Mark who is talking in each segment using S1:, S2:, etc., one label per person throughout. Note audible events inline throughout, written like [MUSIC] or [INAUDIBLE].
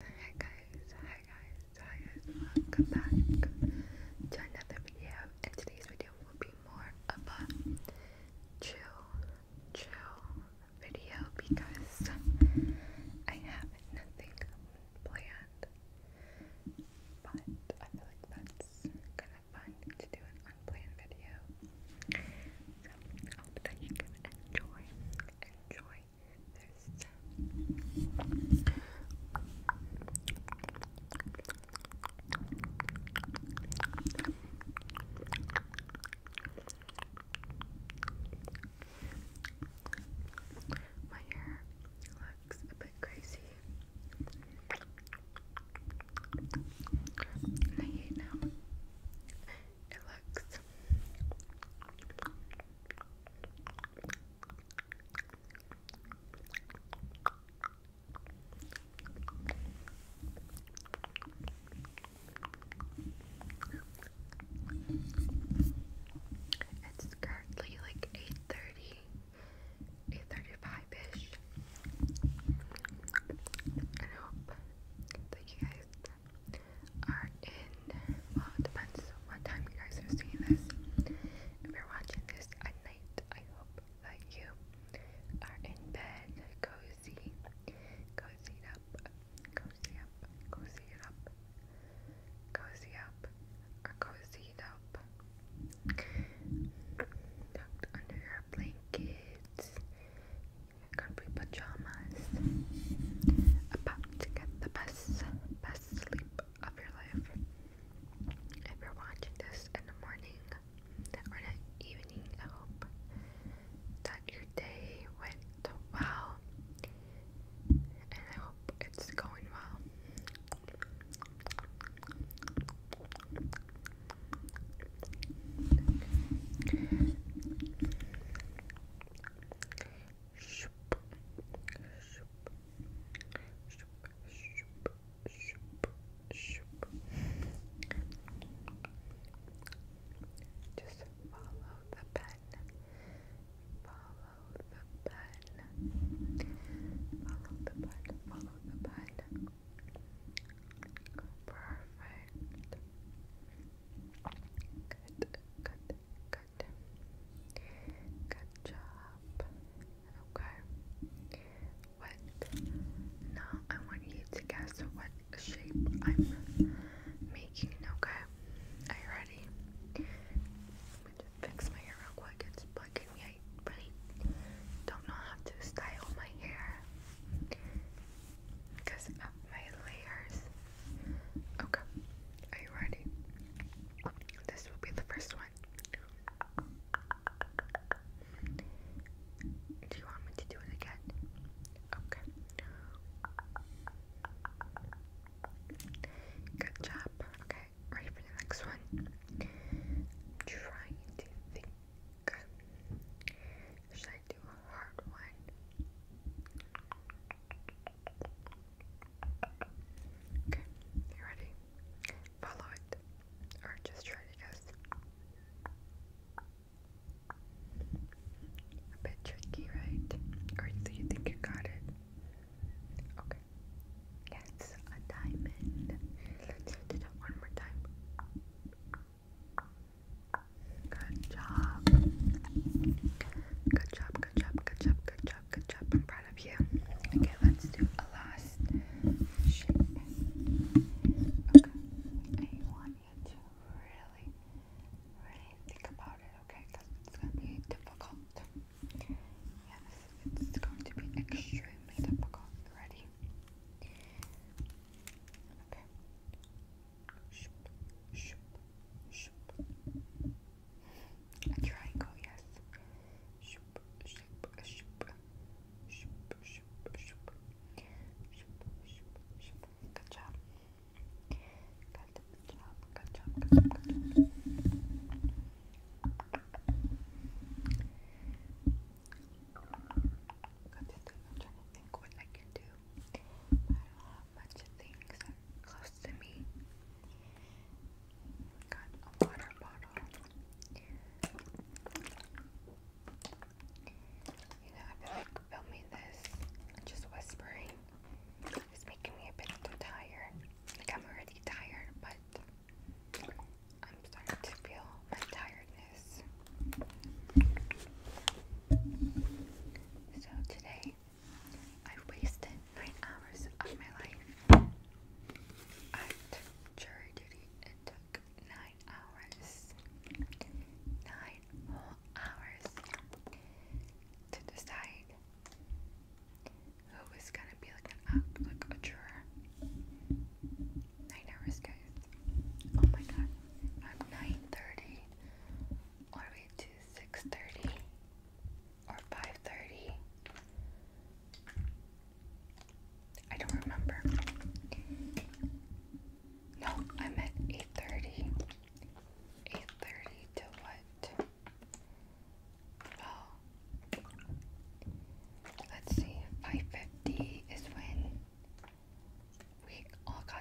S1: Hi guys, hi guys, hi guys, welcome back to another video. And today's video will be more of a chill, chill video because I have nothing planned. But I feel like that's kind of fun to do an unplanned video. I hope that you can enjoy, enjoy sorry. There's that. My hair looks a bit crazy. I hate now. It looks it's currently like 8.30, 8.35-ish. I hope that you guys are in, well, it depends on what time you guys are seeing this. If you're watching this at night, I hope that you are in bed, cozy, cozy up, cozy up, cozy it up, cozy up, or cozied up. Tucked under your blankets, comfy pajamas, about to get the bed best, sleep of your life. If you're watching this in the morning or in the evening, I hope that your day went well. And I hope it's going well shoop, shoop, shoop, shoop, shoop, shoop. Just follow the pen. Follow the pen. Follow the pen. Follow the pen. Perfect. Good, good, good, Good. job. Okay. What? Now I want you to guess what shape I'm making. Okay. Are you ready? fix my hair real quick. It's bugging me. I don't know how to style my hair because of my layers. Okay, are you ready? This will be the first one. Do you want me to do it again? Okay. Good job. Okay, ready for the next one? trying to think. Should I do a hard one? Okay, you ready? Follow it. Or just try to guess. A bit tricky, right? Or do you think you got it? Okay. Yeah, a diamond. Let's one more time. Good job. Good job, good job, good job, good job, good job. I'm proud of you. Okay, let's do a last Okay. I want you to really, really think about it, okay? Because it's going to be difficult. Yes, it's going to be extremely difficult. Ready? Okay. A triangle, yes. Shoop, shoop, shoop. Shoop, shoop, shoop. Shoop, shoop, shoop. Good job. Good job, good job, good job, good job. Good, I'm trying to think what I can do. I don't have much things close to me. got a water bottle. You know, I feel like filming this just whispering is making me a bit tired. Like, I'm already tired, but I'm starting to feel my tiredness. So, today i wasted nine hours of my life at jury duty. It took nine hours, nine whole hours to decide who was gonna be like an act like a juror. Nine hours, guys. Oh my god, I'm nine thirty all the to six thirty or 5:30. I don't remember. No, I meant 8:30. 8:30 to what? Well, let's see. 5:50 is when we all got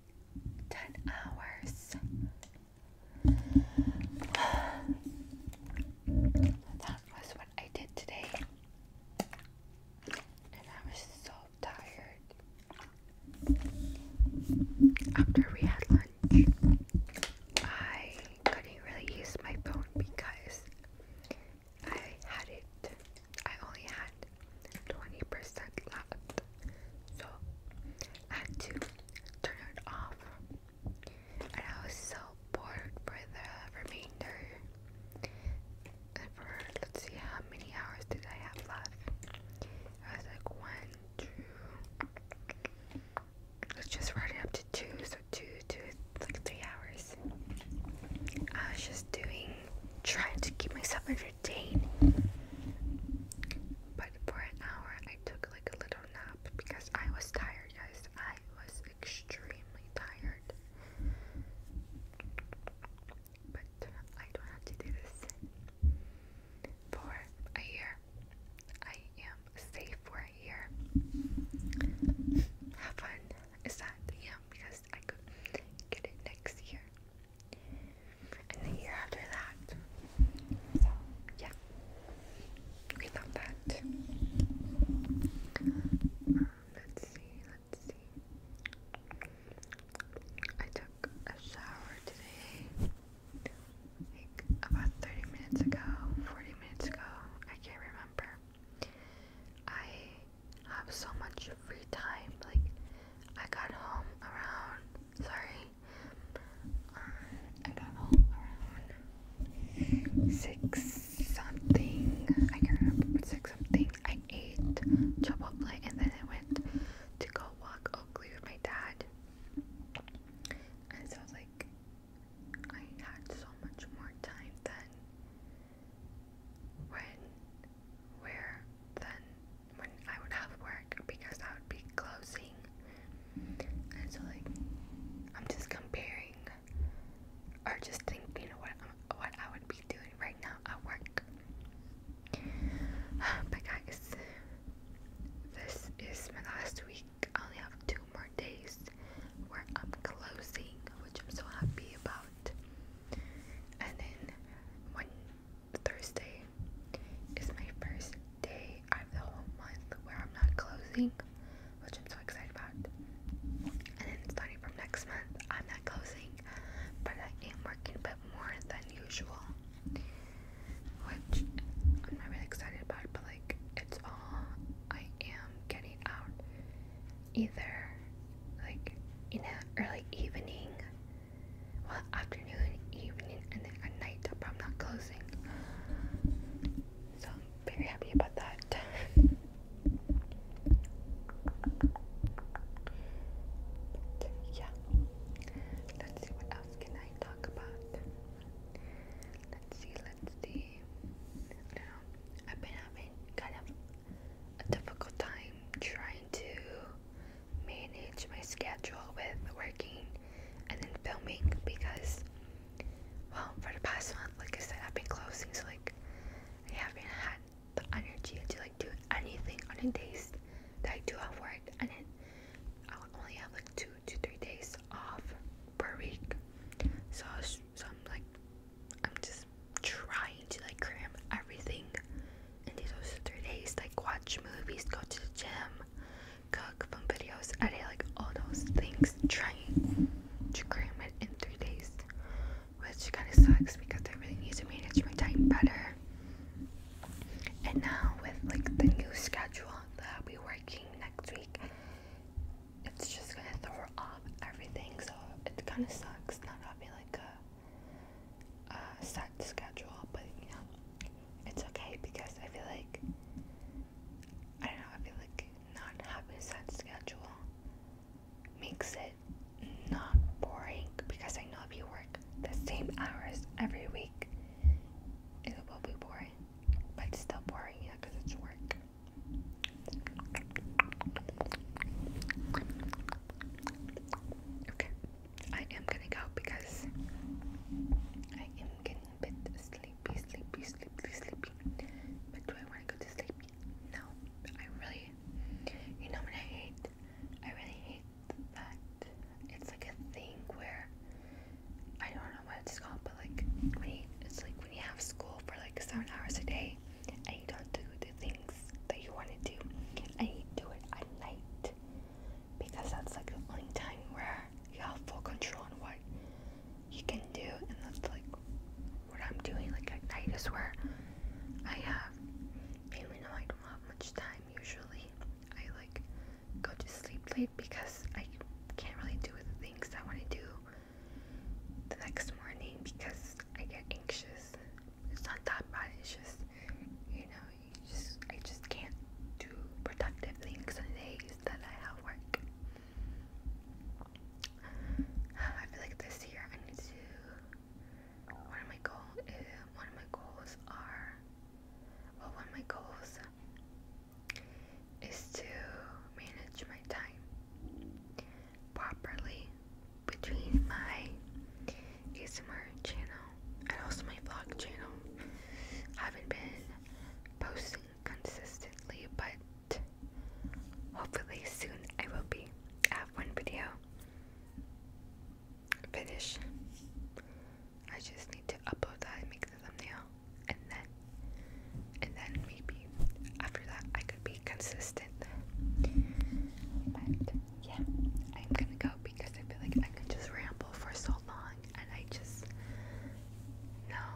S1: 10 hours. That was what I did today. And I was so tired. After we had lunch, I couldn't really use my phone because I had it, I only had 20% left. So had to turn it off, and I was so bored for the remainder. for let's see, how many hours did I have left? I was like one, two. Let's just round it up to two, so two, two, like three hours. I was just doing, trying to keep myself entertained for an hour I took like a little nap because I was tired, guys. I was extremely tired. But I don't have to do this for a year. I am safe for a year. How fun is that? Yeah, because I could get it next year and the year after that. So, yeah, we love that. let's see, let's see. I took a shower today, like about 30 minutes ago, 40 minutes ago, I can't remember. I have so much free time, like, I got home around, sorry, I six something. I can't remember, but six something. I ate Chipotle and then I went to go walk Oakley with my dad. And so I was like, I had so much more time than when, where, than when I would have work because I would be closing. And so, like, I'm just comparing or just thinking what i what I would be doing right now at work. [SIGHS] But guys, this is my last week. I only have two more days where I'm closing, which I'm so happy about. And then when Thursday is my first day of the whole month where I'm not closing, which I'm so excited about. And then starting from next month, I'm not closing, but I am working a bit more than usual, which I'm not really excited about, but like it's all I am getting out either like in an early evening well, afternoon, evening, and then at night, but I'm not closing. So I'm very happy about that. yeah. Let's see what else can I talk about. Let's see, let's see. I I've been having kind of a difficult time trying to manage my schedule with working and then filming because, well, for the past month, like I said, I've been closing, so like I haven't had the energy to like do anything on a day. that I do have work, and then I only have like two to three days off per week. So, so I'm like, I'm just trying to like cram everything do those three days, like watch movies, go to the gym, cook, film videos, edit, like all those things, trying to cram it in three days, which kind of sucks because I really need to manage my time better. And now with like the new schedule that I'll be working next week, it's just gonna throw off everything. So it kind of sucks not having like uh, set schedule, but you know, it's okay because I feel like I don't know. I feel like not having set schedule makes it not boring because I know if you work the same hours every week, it will be boring, but it's still boring, yeah, because it's work. Okay, I am gonna go because I am getting a bit sleepy, sleepy, sleepy, sleepy. But do I want to go to sleep? No, I really, you know what I hate? I really hate that it's like a thing where I don't know what it's called, but like when you, it's like when you have school for like seven hours a day and you don't do the things that you want to do and you do it at night because that's like the only time where you have full control on what you can do, and that's like what I'm doing. Like at night is where I have, even though I don't have much time usually, I like go to sleep late because I can't really do the things I want to do the next morning because I get anxious. It's not that bad, it's just you know, I just can't do productive things on days that I have work. I feel like this year I need to. One of my goal, is, eh, one of my goals are, well, one of my goals is to manage my time properly between my ASMR channel and also my vlog channel. Haven't been posting consistently, but hopefully soon I will be. I have one video finish. I just need to upload that and make the thumbnail, and then, and then maybe after that I could be consistent. But yeah, I'm gonna go because I feel like I can just ramble for so long, and I just know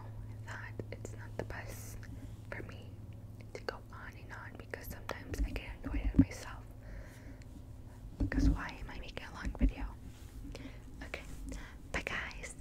S1: that it's not the best for me to go on and on because sometimes I get annoyed at myself. Because why am I making a long video? Okay, bye guys.